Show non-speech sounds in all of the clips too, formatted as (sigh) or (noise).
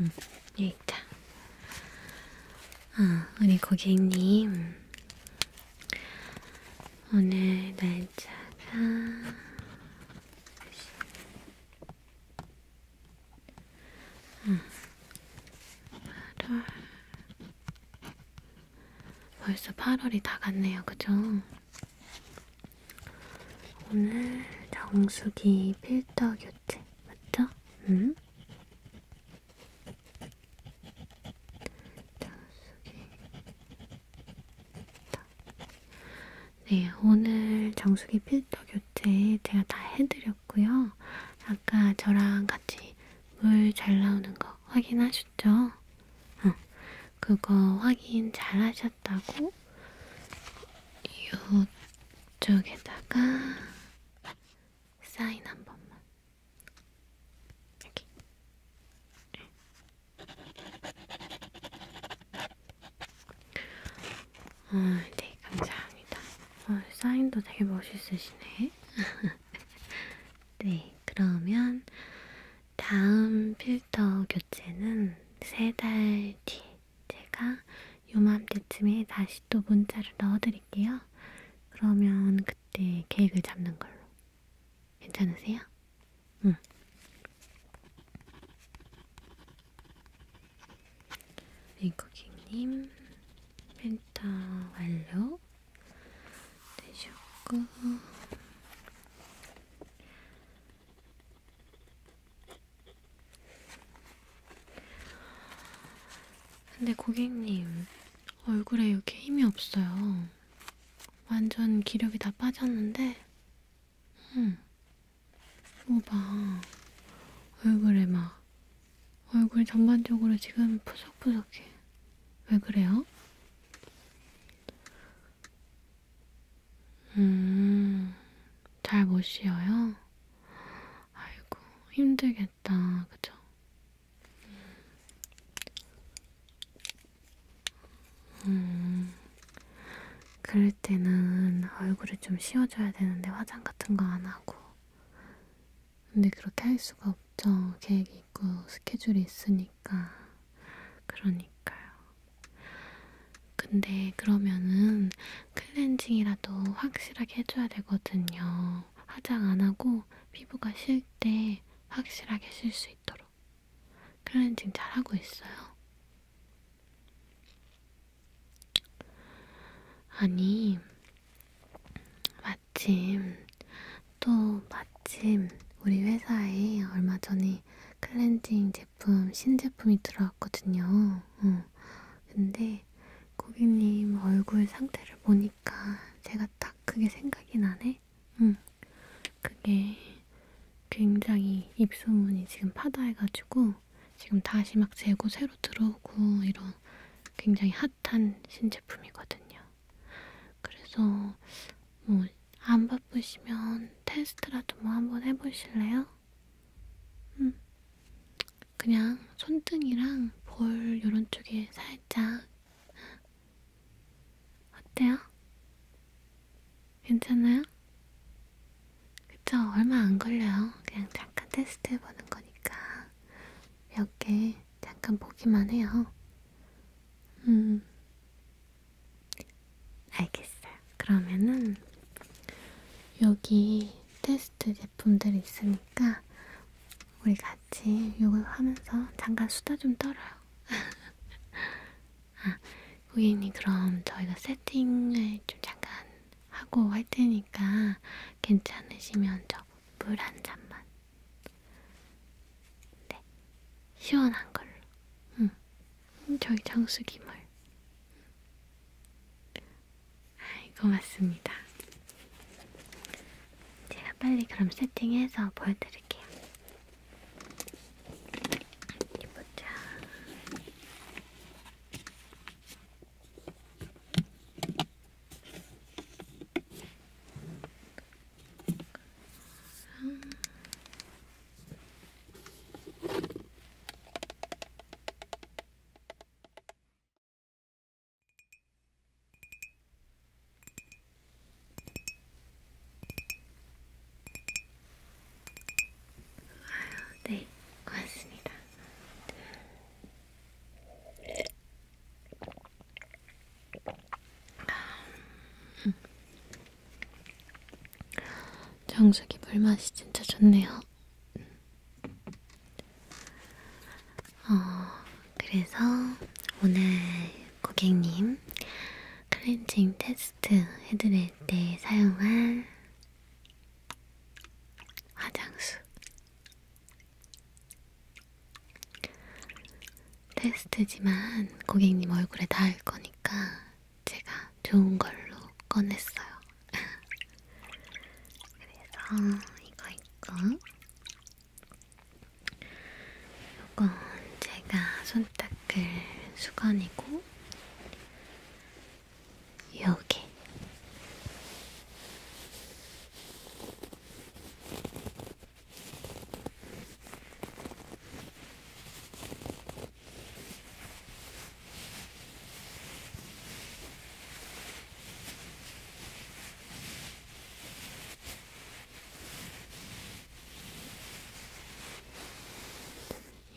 응, 여기 있다. 아, 우리 고객님. 오늘 날짜가... 응. 8월... 벌써 8월이 다 갔네요, 그죠? 오늘 정수기 필터 교체 맞죠? 응? 정수기 필터. 네, 오늘 정수기 필터 교체 제가 다 해드렸고요. 아까 저랑 같이 물 잘 나오는 거 확인하셨죠? 어, 그거 확인 잘 하셨다고 이쪽에다가 사인 한 번만. 여기. 어, 네, 감사합니다. 어, 사인도 되게 멋있으시네. (laughs) 네, 그러면 다음 필터 교체는 세 달 뒤. 제가 요맘때쯤에 다시 또 문자를 넣어드릴게요. 그러면 그때 계획을 잡는 걸로. 괜찮으세요? 응. 윙크킹님 펜터 완료 되셨고 근데 고객님, 얼굴에 이렇게 힘이 없어요. 완전 기력이 다 빠졌는데, 응. 음, 뭐 봐. 얼굴에 막, 얼굴 전반적으로 지금 푸석푸석해. 왜 그래요? 음, 잘 못 쉬어요? 아이고, 힘들겠다, 그죠? 음, 그럴 때는 얼굴을 좀 씌워줘야 되는데 화장 같은 거 안 하고. 근데 그렇게 할 수가 없죠. 계획이 있고 스케줄이 있으니까. 그러니까요. 근데 그러면은 클렌징이라도 확실하게 해줘야 되거든요. 화장 안 하고 피부가 쉴 때 확실하게 쉴 수 있도록. 클렌징 잘 하고 있어요. 아니, 마침, 또 마침 우리 회사에 얼마 전에 이번에 클렌징 제품 신제품이 들어왔거든요. 어. 근데 고객님 얼굴 상태를 보니까 제가 딱 그게 생각이 나네. 응. 그게 굉장히 입소문이 지금 파다해가지고 지금 다시 막 재고 새로 들어오고 이런 굉장히 핫한 신제품이거든요. 그래서 뭐안 바쁘시면 테스트라도 뭐 한번 해보실래요? 음. 그냥 손등이랑 볼 요런 쪽에 살짝 어때요? 괜찮아요? 그쵸? 얼마 안 걸려요. 그냥 잠깐 테스트 해보는 거니까 몇 개 잠깐 보기만 해요. 음, 알겠어요. 그러면은 여기 테스트 제품들이 있으니까 우리 같이 이걸 하면서 잠깐 수다 좀 떨어요. (laughs) 아, 고객님 그럼 저희가 세팅을 좀 잠깐 하고 할 테니까 괜찮으시면 저 물 한 잔만. 네, 시원한 걸로. 응. 저희 장수기말. 아이, 고맙습니다. 제가 빨리 그럼 세팅해서 보여드릴게요. 어디 보자. 음. 아유, 네, 고맙습니다. 음. 정수기 물맛이 진짜 좋네요. 어, 그래서 오늘 고객님 클렌징 테스트 해드릴 때 사용할 화장수 테스트지만 고객님 얼굴에 닿을 거니까 제가 좋은 걸로 꺼냈어요. (laughs) 그래서 이거 있고 이건 제가 손 닦을 수건이고 여기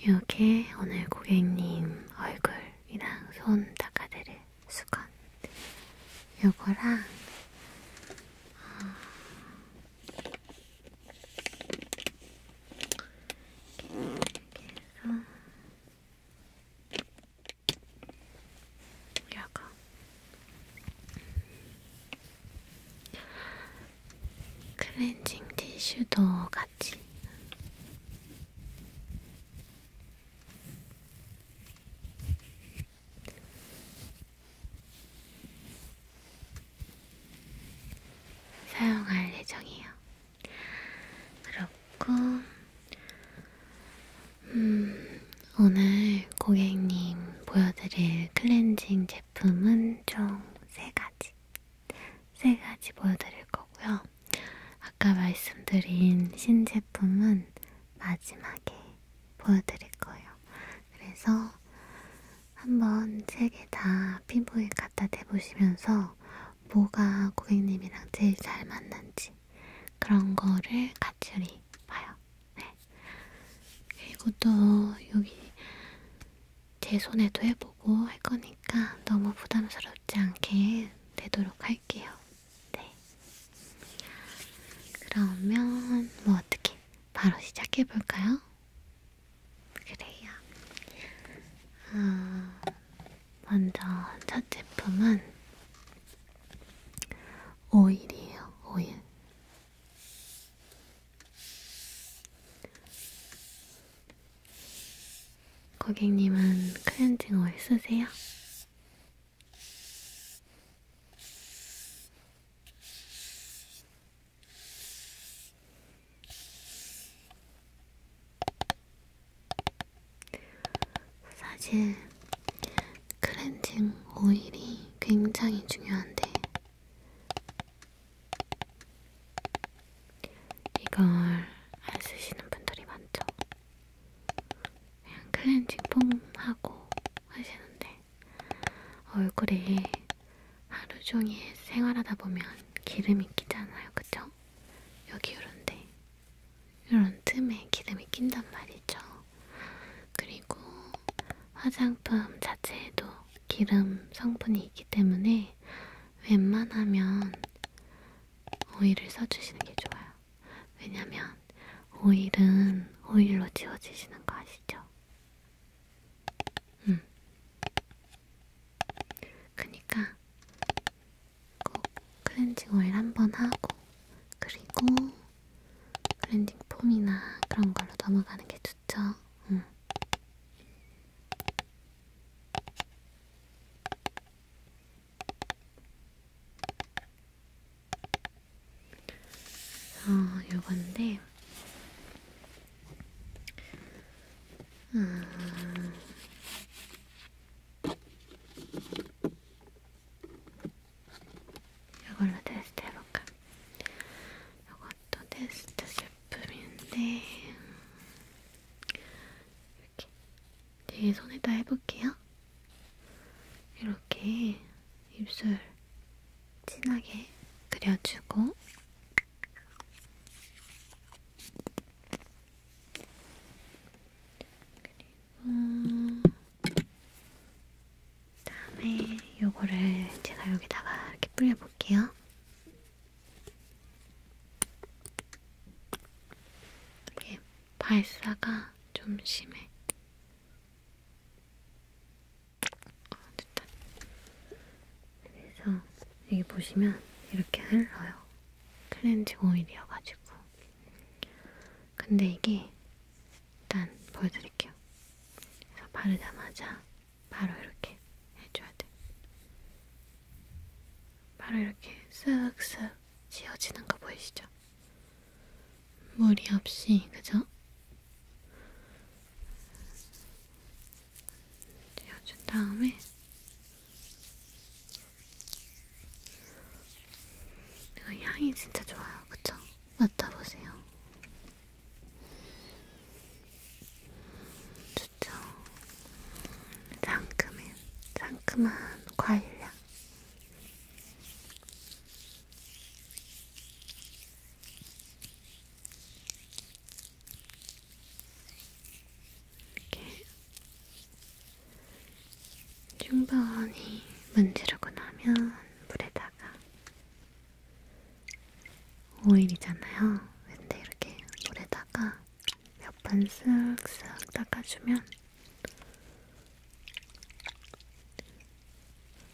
요게 오늘 고객님 얼굴이랑 손 닦아드릴 수건 요거랑 어, 이렇게 해서 약간 클렌징 티슈도 같이 사용할 예정이에요. 그렇고, 음, 오늘 고객님 보여드릴 클렌징 제품은 총 세 가지. 세 가지 보여드릴 거고요. 아까 말씀드린 신제품은 마지막에 보여드릴 거예요. 그래서 한번 세개다 피부에 갖다 대보시면서 뭐가 고객님이랑 제일 잘 맞는지 그런 거를 같이 우리 봐요. 네. 그리고 또 여기 제 손에도 해보고 할 거니까 너무 부담스럽지 않게 되도록 할게요. 네. 그러면 뭐 어떻게 바로 시작해 볼까요? 그래요. 아, 먼저 첫 제품은 오일이에요. 오일. 고객님은 클렌징 오일 쓰세요? 사실 클렌징 오일이 굉장히 중요한데 이걸 안 쓰시는 분들이 많죠. 그냥 클렌징 폼 하고 하시는데 얼굴에 하루 종일 생활하다 보면 기름이 끼잖아요, 그쵸? 여기 요런데, 요런 틈에 기름이 낀단 말이죠. 그리고 화장품 자체에도 기름 성분이 있기 때문에 웬만하면 오일을 써주시는 게 좋아요. 왜냐면 오일은 오일로 지워지시는 거 아시죠? 음. 그니까 꼭 클렌징 오일 한번 하고 그리고 클렌징 폼이나 그런 걸로 넘어가는 게 좋죠. 음. 어, 요건데 음... 이걸로 테스트 해볼까? 이것도 테스트 제품인데 이렇게 제 손에다 해볼게요. 이렇게 입술 진하게 그려주고 그리고 다음에 요거를 제가 여기다가 이렇게 뿌려볼게요. 이게 발사가 좀 심해. 아, 됐다. 그래서 여기 보시면 이렇게 흘러요. 클렌징 오일이어가지고. 근데 이게 일단 보여드릴게요. 그래서 바르자마자 바로 이렇게 해줘야 돼. 바로 이렇게 쓱쓱 지워지는 거 보이시죠? 무리 없이, 그죠? 떼어준 다음에 이거 향이 진짜 좋아요, 그쵸? 맡아보세요. 좋죠? 상큼해, 상큼한 과일향. 이렇게 충분히 문지르고 나면 물에다가 오일이잖아요. 근데 이렇게 물에다가 몇 번 쓱쓱 닦아주면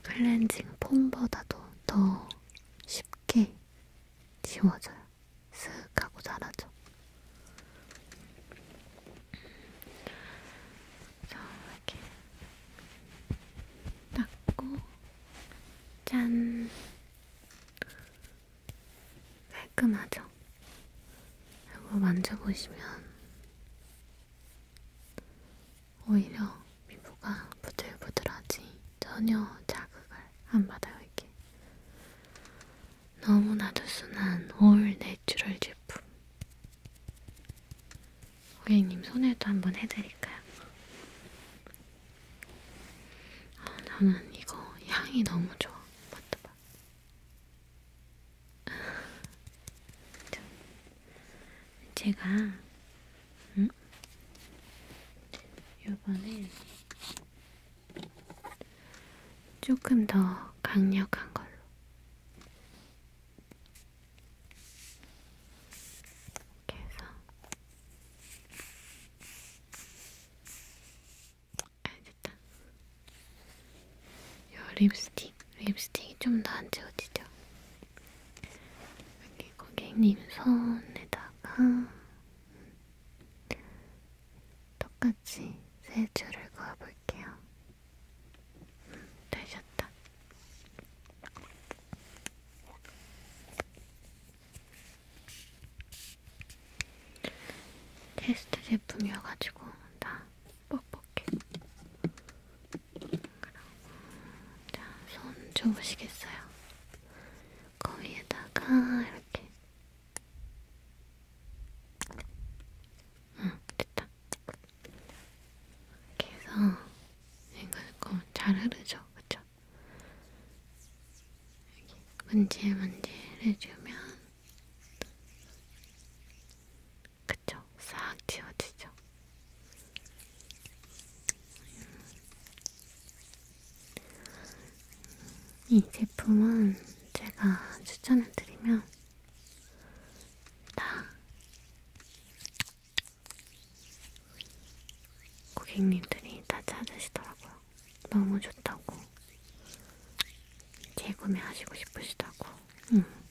클렌징 폼보다도 더 쉽게 지워져요. 쓱 하고 사라져. 자, 이렇게 닦고 짠! 깔끔하죠? 이거 만져보시면 오히려 피부가 부들부들하지 전혀 자극을 안 받아요 이게 너무나도 순한 올 내추럴 제품 고객님 손에도 한번 해드릴까요? 아, 나는 이거 향이 너무 좋아 맡아봐 제가 음? 요번엔 조금 더 강력한 걸로 이렇게 해서 아 됐다 요 립스틱 립스틱이 좀 더안 채워지죠? 여기 고객님 손에다가 똑같이 세 줄을 그어볼게요. 음, 되셨다. 테스트 제품이어가지고 나 뻑뻑해. 자손 줘보시겠어요? 거기에다가 이렇게 응 됐다 이렇게 해서 이거 잘 흐르죠? 그쵸? 여기 문질문질 해주면 그쵸? 싹 지워지죠. 이 제품은 제가 추천을 드리면 다 고객님들이 다 찾으시더라고요. 너무 좋다고 재구매하시고 싶으시다고. 응. 음.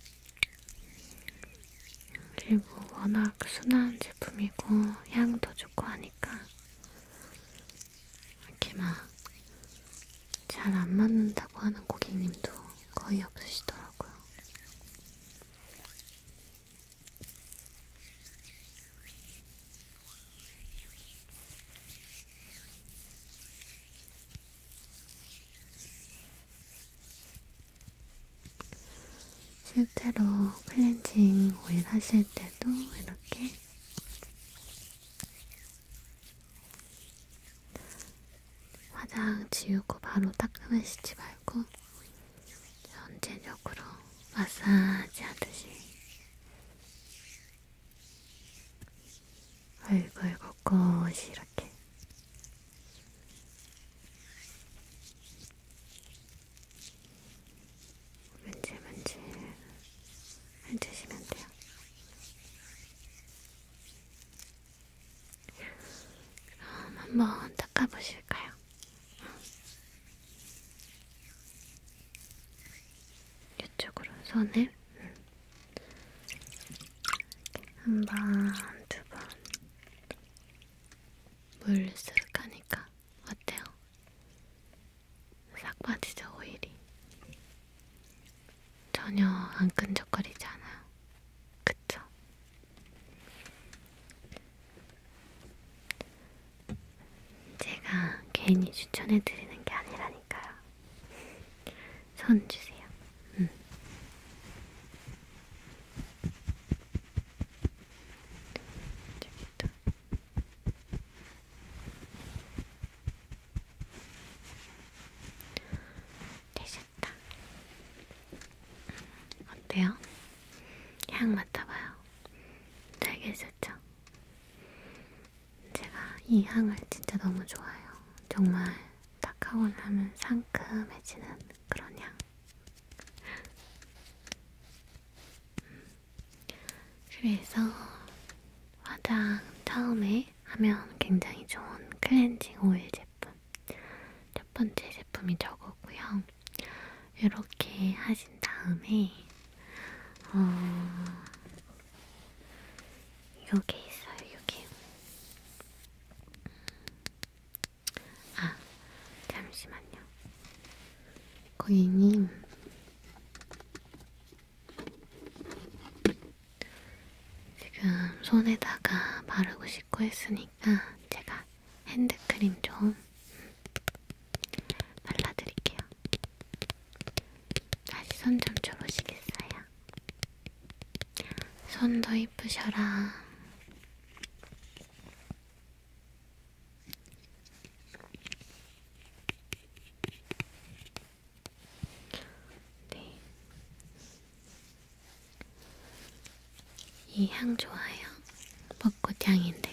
그리고 워낙 순한 제품이고 향도 좋고 하니까 이렇게 막 잘 안 맞는다고 하는 고객님도 거의 없으시더라고요. 실제로 클렌징 오일 하실 때도 이렇게 화장 지우고 바로 닦으시지 말고 전체적으로 마사지 하듯이 얼굴 곳곳이 이렇게 문질문질 해주시면 돼요. 그럼 한번 닦아보실까요? 이쪽으로 손을 응. 한 번, 두 번, 물쓱 하니까 어때요? 싹 빠지죠 오일이 전혀 안 끈적거리지 않아요 그쵸? 제가 괜히 추천해드리는 게 아니라니까요 손 주세요 음. 재밌다. 되셨다. 어때요? 향 맡아봐요. 달겠었죠? 제가 이 향을 진짜 너무 좋아해요. 정말 딱 하고 나면 상큼해지는 그런 향. 그래서 화장 처음에 하면 굉장히 좋은 클렌징 오일 제품 첫 번째 제품이 저거고요. 이렇게 하신 다음에 어... 요게 있어요. 요게 아, 잠시만요. 고객님, 지금 손에다가 바르고 씻고 했으니까 제가 핸드크림 좀 발라드릴게요. 다시 손 좀 줘보시겠어요? 손도 이쁘셔라. 네. 이향 좋아요. 벚꽃 향인데.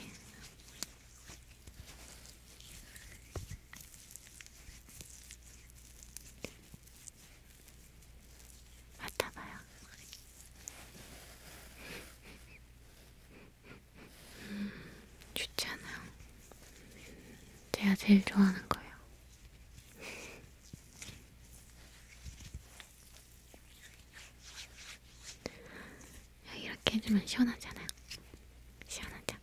맡아봐요. 음, 좋잖아요. 제가 제일 좋아하는 거예요. 이렇게 해주면 시원하잖아요. 시원하죠?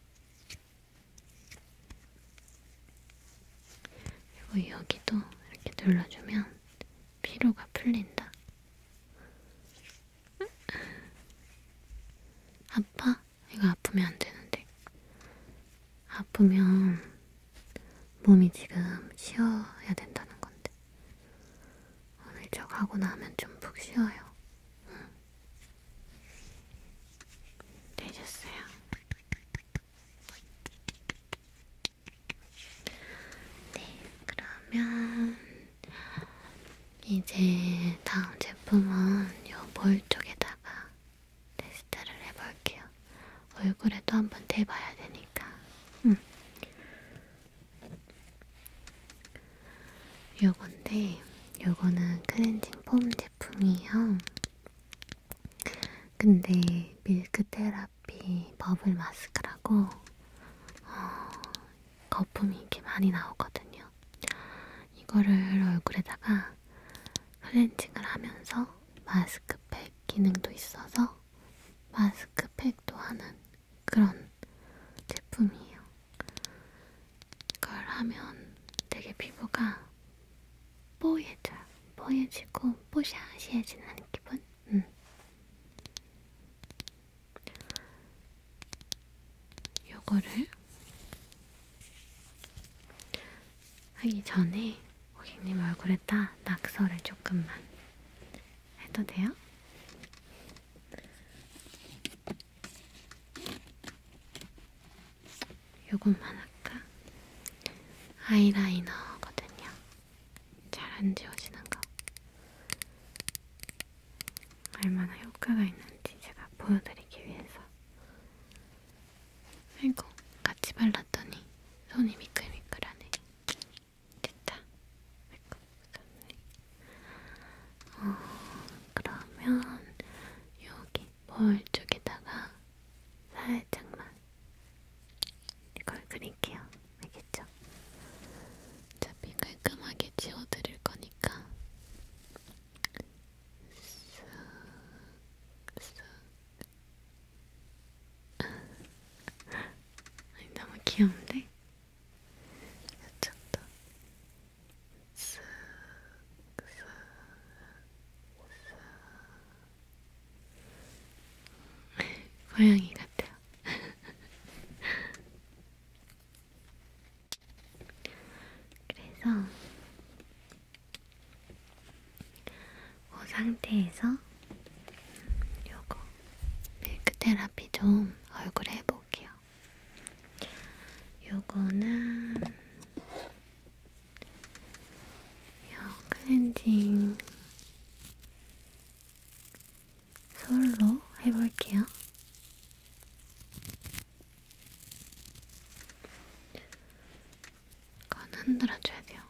그리고 여기도 이렇게 눌러주면 피로가 풀린다. 아파? 이거 아프면 안 되는데. 아프면 몸이 지금 쉬어야 된다는 건데. 오늘 저거 하고 나면 좀 푹 쉬어요. 응. 되셨어요. 네, 그러면 이제 다음 제품은 요볼 쪽에다가 테스트를 해볼게요. 얼굴에도 한번 대봐야 되니까. 음. 요건데 요거는 클렌징 폼 제품이에요. 근데 밀크 테라피 버블 마스크라고 어, 거품이 이렇게 많이 나오거든요. 이거를 얼굴에다가 클렌징을 하면서 마스크팩 기능도 있어서 마스크팩도 하는 그런 제품이에요. 이걸 하면 되게 피부가 뽀얘져, 뽀얘지고 뽀샤시해지는 기분? 음. 요거를 하기 전에 고객님 얼굴에다 낙서를 조금만 해도 돼요? 요것만 할게요. 약간 아이라이너거든요. 잘 안 지워지는 거. 얼마나 효과가 있는지 제가 보여드리기 위해서. 아이고, 같이 발랐더니 손이 미끌미끌하네. 됐다. 아이고, 무섭네. 어, 그러면 여기 볼 쪽에다가 살짝만 이걸 그릴게요. 알겠죠? 어차피 깔끔하게 지워드릴 거니까 쓱쓱 아니 너무 귀여운데? 이쪽도 쓱쓱쓱 고양이 같아요. 그래서 그 상태에서 요거 밀크 테라피 좀 얼굴에 해볼게요. 요거는 헤어 클렌징 솔로 해볼게요. 이건 흔들어줘야 돼요.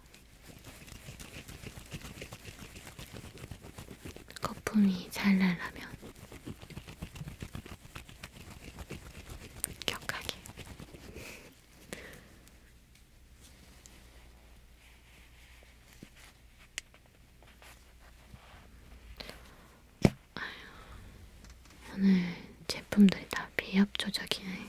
거품이 잘 날라면 격하게 아휴, 오늘 제품들이 다 비합 조작이네.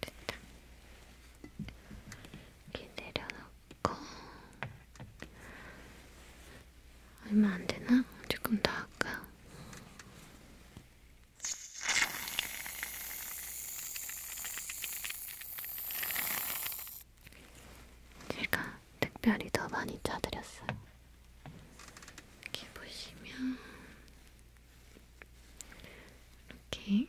됐다. 이렇게 내려놓고 얼마 안 되나? 조금 더 할까? 제가 특별히 더 많이 짜드렸어요. 이렇게 보시면 이렇게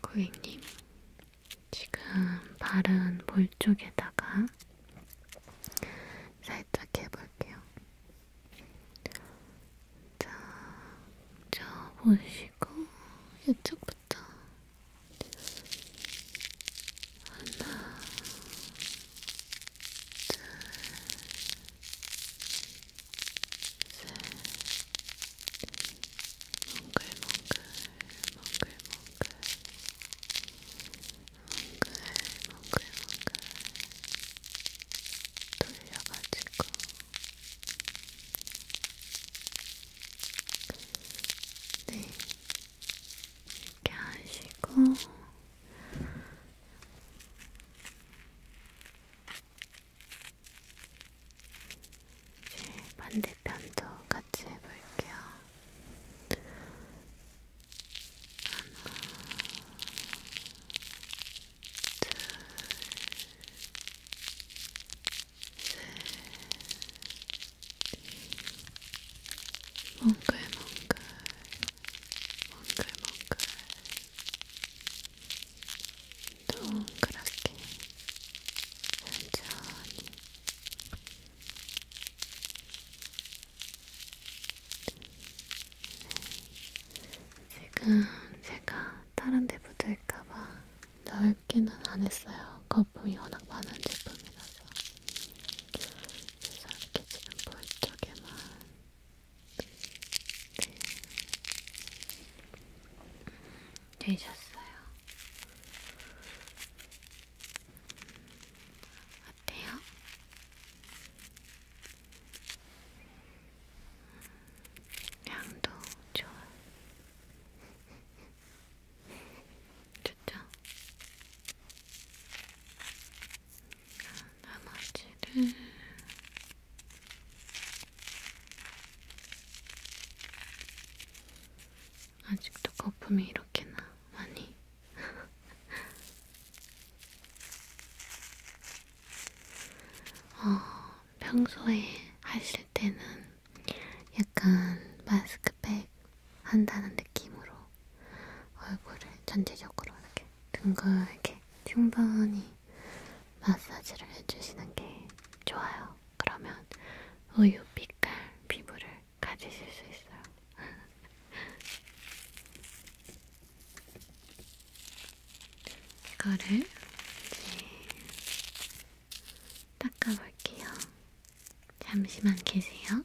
고객님, 지금 바른 볼 쪽에다가 살짝 해볼게요. 자, 저 보시고 이쪽부터 하나, 둘, 돌려가지고 네 이렇게 하시고 이제 반대편도 같이 해볼게요. 하나, 둘, 셋, 몽글몽글, 몽글몽글. 동그랗게 천천히 지금 제가 다른 데 붙을까봐 넓기는 안 했어요. 거품이 워낙 많은 제품이라서. 그래서 이렇게 지금 볼 쪽에만 되셨어요. 어때요? 향도 좋아. (laughs) 좋죠? 나머지를 아직도 거품이 이렇게나 많이 어, 평소에 하실 때는 약간 마스크팩 한다는 느낌으로 얼굴을 전체적으로 이렇게 둥글게 충분히 마사지를 해주시는 게 좋아요. 그러면 우유 빛깔 피부를 가지실 수 있어요. (laughs) 이거를 이제 닦아볼게요. 잠시만 계세요.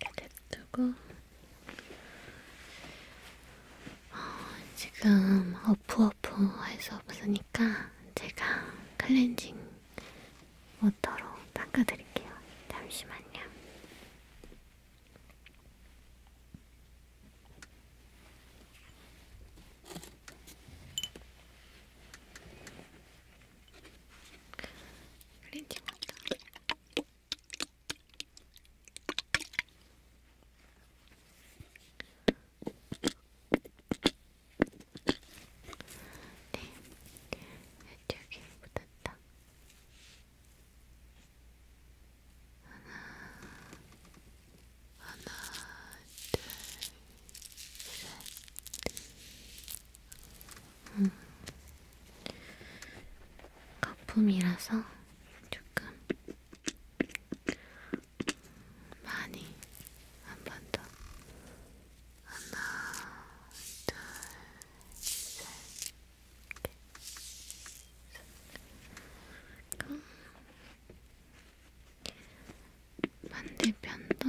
이렇게 뜨고 어, 지금 어프어프해서 없으니까 제가 클렌징 워터로 닦아드릴게요. 잠시만요. 어, 그린티 맞다. 네, 이쪽에 붙었다. 하나, 하나, 둘, 셋, 음. 거품이라서 조금 많이 한 번 더 하나, 둘, 셋, 넷, 반대편도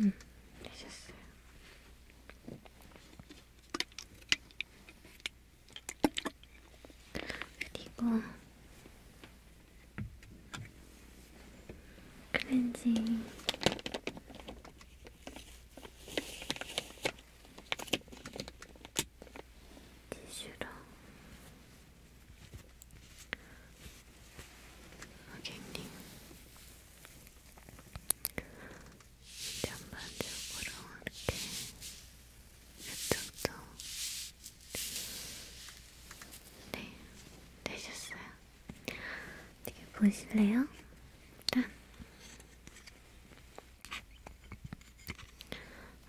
음, 되셨어요. 그리고 클렌징 티슈로 어갱링 아, 전반적으로 이렇게 이쪽도 네, 되셨어요? 어떻게 보실래요? 일단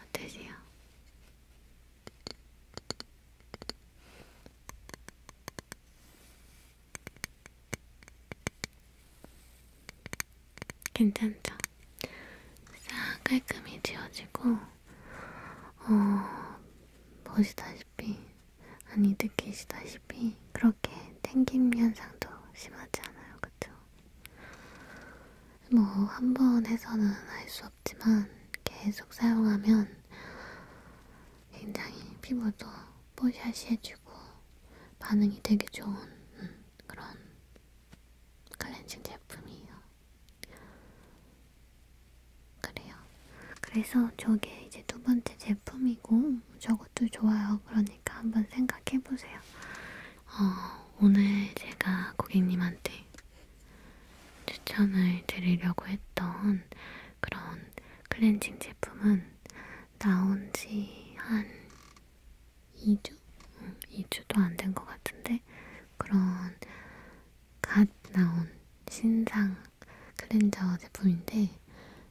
어떠세요? 괜찮죠? 싹 깔끔히 지워지고 어... 보시다시피 아니 느끼시다시피 그렇게 땡김 현상도 심하지 않아요 그쵸? 뭐 한 번 해서는 할 수 없지만 계속 사용하면 굉장히 피부도 뽀샤시해지고 반응이 되게 좋은 음, 그런 클렌징 제품이에요. 그래요. 그래서 저게 이제 두 번째 제품이고 저것도 좋아요. 그러니까 한번 생각해보세요. 어, 오늘 제가 고객님한테 추천을 드리려고 했던 그런 클렌징 제품은 나온 지한 2주? 응, 2주도 안 된 것 같은데 그런 갓 나온 신상 클렌저 제품인데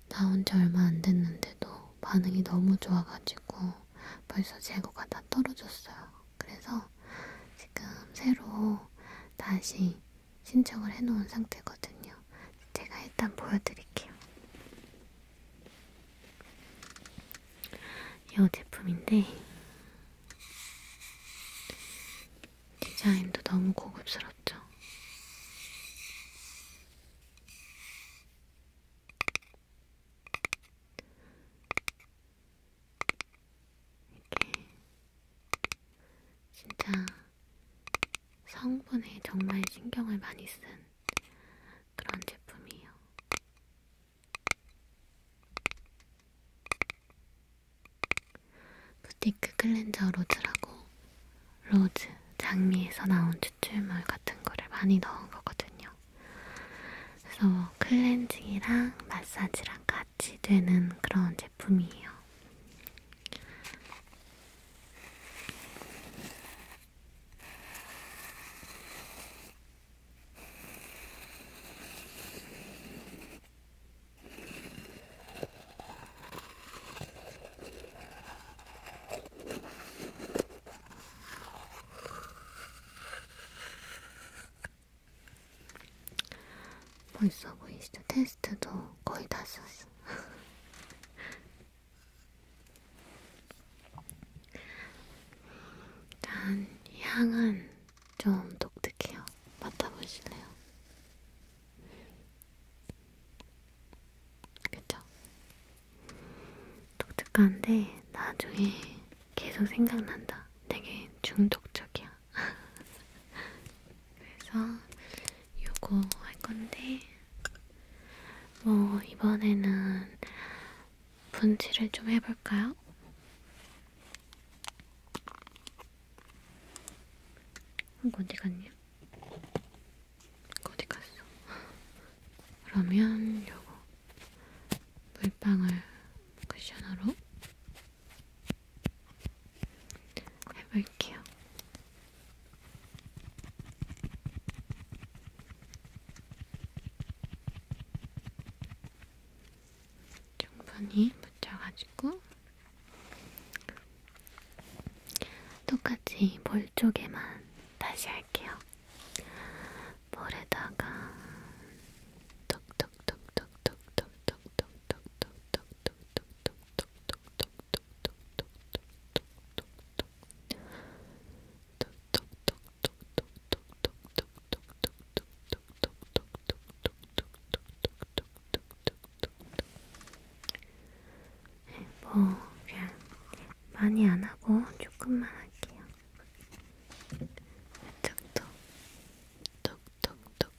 나온 지 얼마 안 됐는데도 반응이 너무 좋아가지고 벌써 재고가 다 떨어졌어요. 그래서 지금 새로 다시 신청을 해놓은 상태거든요. 제가 일단 보여드릴게요. 이 제품인데 디자인도 너무 고급스럽죠? 이렇게 진짜 성분에 정말 신경을 많이 쓴 그런 제품이에요. 부티크 클렌저 로즈라고 로즈, 장미에서 나온 추출물 같은 거를 많이 넣은 거거든요. 그래서 클렌징이랑 마사지랑 같이 마취되는 그런 제품이에요. 멋있어 보이시죠? 테스트도 거의 다 썼어. 일단 (laughs) 향은 좀 독특해요. 맡아보실래요? 그쵸? 독특한데 나중에 계속 생각난다. 되게 중독적이야. 그래서 요거 할 건데, 뭐, 이번에는 분칠을 좀 해볼까요? 이거 어, 어디 갔냐? 이거 어디 갔어? 그러면 요거 물방울 쿠셔너로 해볼게요. 충분히 붙여가지고 똑같이 볼 쪽에만 다시 할게요. 볼에다가 톡톡 뭐 그냥 많이 안 하고 조금만 할게요. 톡톡 톡톡톡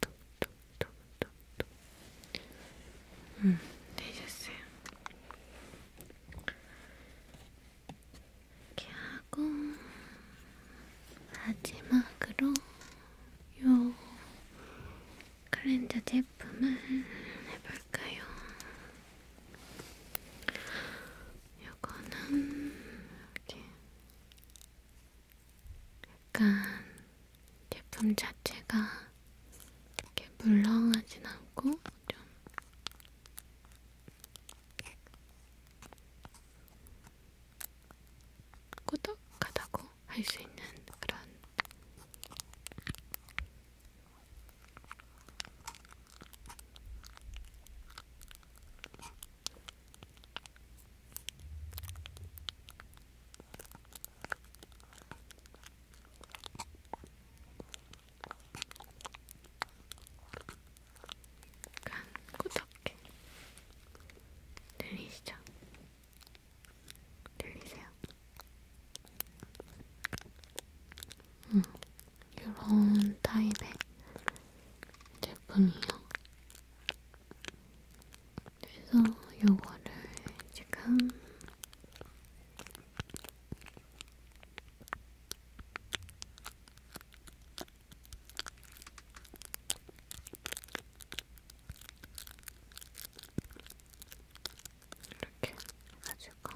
톡톡톡톡톡 음, 되셨어요. 이렇게 하고 마지막으로 요 클렌저 제품을 해볼까요? 요거는 이렇게 약간 제품 자체가 이렇게 물렁하진 않고 좀 꾸덕하다고 할 수 있는 그런 약간 꾸덕게 들리시죠? 들리세요? 음, 이런 타입의 제품이요. 그래서 요거를 지금 이렇게 가지고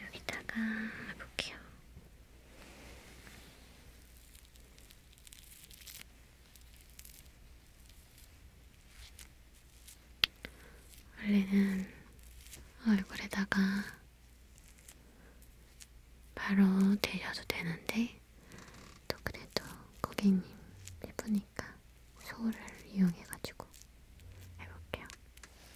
여기다가 볼게요. 원래는 얼굴에다가 바로 대셔도 되는데 또 그래도 고객님 예쁘니까 소를 이용해가지고 해볼게요.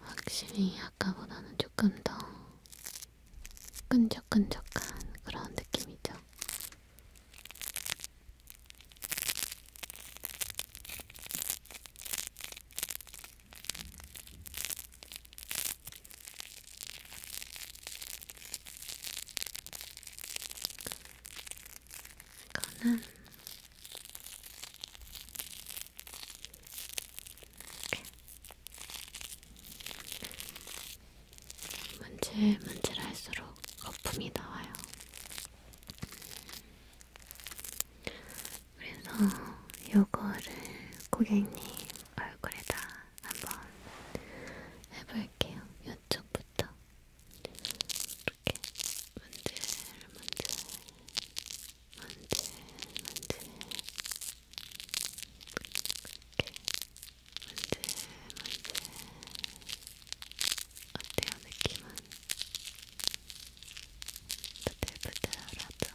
확실히 아까보다는 조금 더 끈적끈적한 그런 느낌이죠. 이거는 문질 문질할수록 거품이 나와요. 그래서 요거를 고객님 얼굴에다 한번 해볼게요. 이쪽부터 이렇게 만질 만질 만질 만질 이렇게 만질 만질 어때요 느낌은? 부들부들하죠?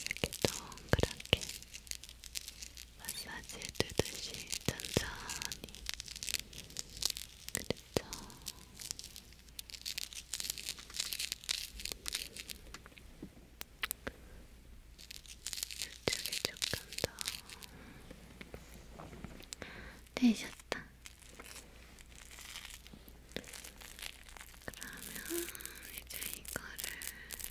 이렇게 동그랗게 마사지 해두듯이 천천히 그렇죠? 이쪽에 조금 더 되셨다. 그러면 이제 이거를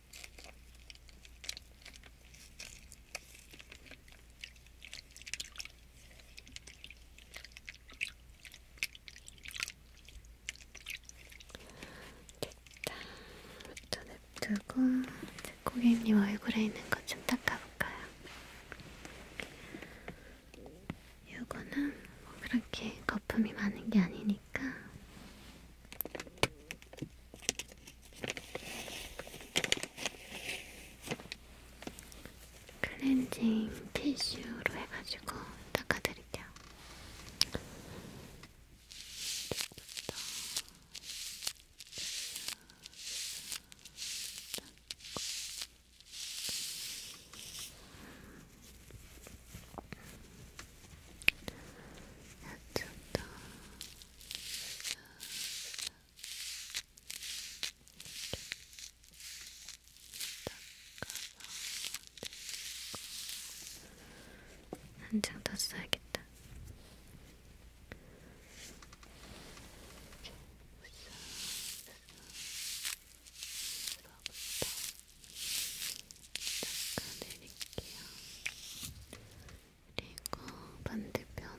됐다. 또 냅두고 이제 고객님 얼굴에 있는 것좀 닦아볼까요? 요거는 뭐 그렇게 거품이 많은 게 아니니까 클렌징 티슈로 해가지고 닦아드릴게요. 이쪽도 한장 더 써야겠다. 이렇게 써서, 써서, 잠깐 내릴게요. 그리고 반대편으로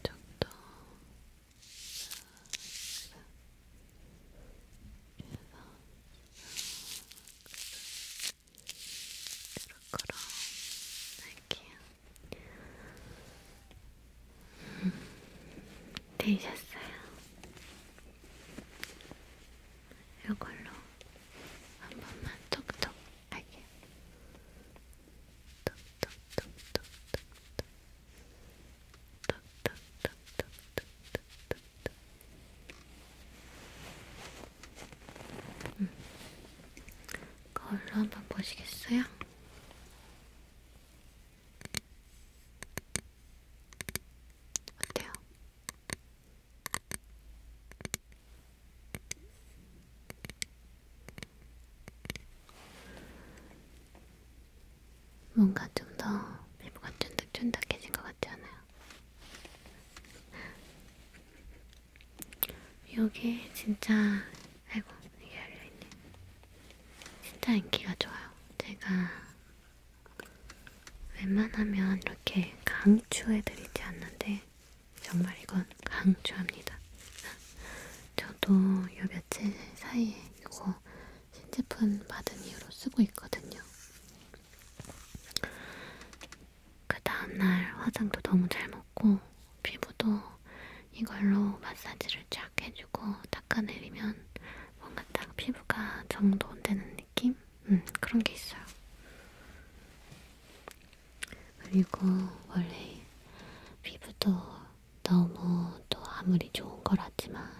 이쪽도 싹싹 해서 끄럭끄럭 할게요. 되셨어요? 이걸로 한 번만 톡톡 하게. 톡톡톡톡톡톡. 톡톡톡톡톡톡톡. 음. 거울로 한 번 보시겠어요? 어때요? 뭔가 좀 더 피부가 쫀득쫀득해진 것 같지 않아요? 여기 진짜 아이고 이게 열려있네 진짜 인기가 좋아요 제가 웬만하면 이렇게 강추해드리지 않는데 정말 이건 강추합니다. 저도 요 며칠 사이에 이거 신제품 받은 이후로 쓰고 있거든요. 그 다음날 화장도 너무 잘 먹고 피부도 이걸로 마사지를 쫙 해주고 닦아내리면 뭔가 딱 피부가 정돈되는 느낌? 음, 그런 게 있어요. 그리고 원래 피부도 너무 또 아무리 좋은 거라지만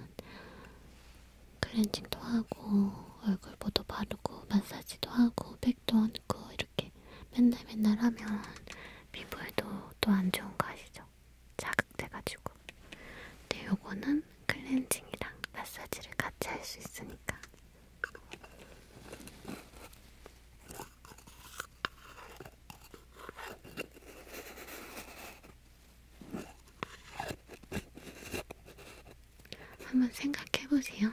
클렌징도 하고 얼굴보도 바르고 마사지도 하고 팩도 얹고 이렇게 맨날 맨날 하면 피부에도 또 안 좋은 거 아시죠? 자극돼가지고 근데 요거는 클렌징이랑 마사지를 같이 할 수 있으니까 한번 생각해 보세요.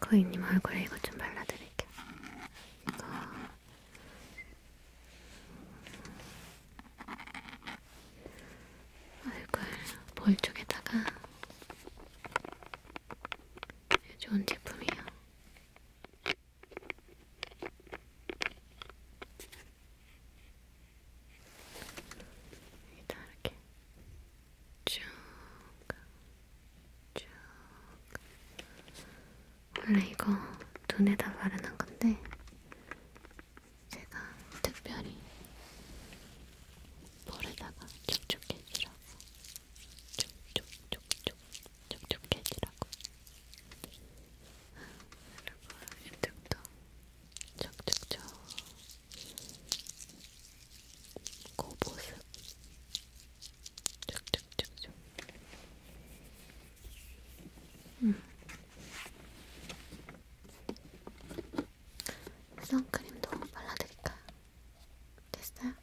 거인님 얼굴에 이거 좀 발라드릴게요. 이거 얼굴 볼 쪽에다가 좋은 제품이에요. 이렇게 쭉, 쭉. 원래 이거 눈에다 바르는 건데, 제가 특별히 볼에다가 촉촉해지라고, 촉촉촉촉, 촉촉해지라고. 그리고 이쪽도 촉촉촉. 고보습 쭉쭉쭉쭉 음. 선크림도 발라드릴까요? 됐어요?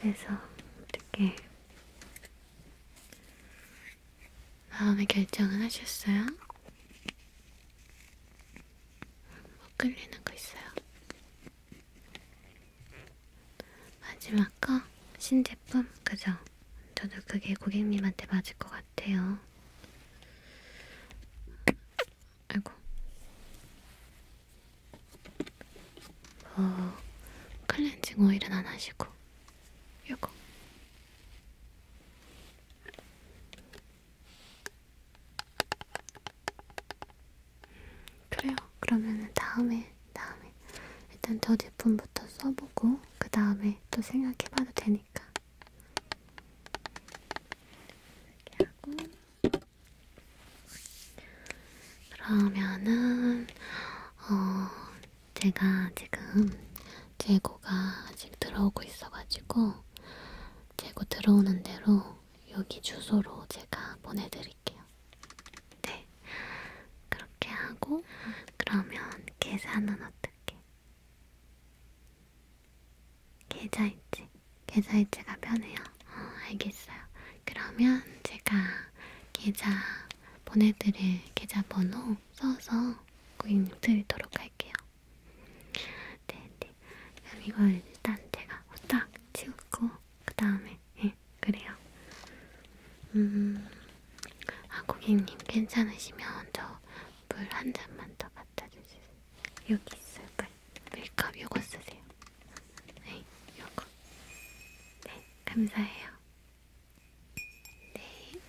그래서 어떻게 마음의 결정은 하셨어요? 뭐 끌리는 거 있어요? 마지막 거? 신제품? 그죠? 저도 그게 고객님한테 맞을 것 같아요. 같아요. 아이고. 뭐, 클렌징 오일은 안 하시고, 요거. 음, 그래요. 그러면은 다음에, 다음에. 일단 저 제품부터 써보고, 그 다음에 또 생각해봐도 되니까. 거니까. 이렇게 하고. 그러면은, 어, 제가 지금 재고가 아직 들어오고 있어가지고, 재고 들어오는 대로 여기 주소로 제가 보내드릴게요. 네. 그렇게 하고, 그러면 계산은 어떻게? 계좌이체. 계좌이체가 편해요. 어, 알겠어요. 그러면 제가 계좌 보내드릴 계좌번호 써서 고객님 드리도록 할게요. 네, 네. 그럼 이걸 일단 제가 후딱 치우고 그 다음에 예, 그래요. 음, 아 고객님 괜찮으시면 저 물 한 잔만 더 갖다 주세요. 여기 있어요. 메이크업 요거 쓰세요. 네, 요거. 네, 감사해요. 네.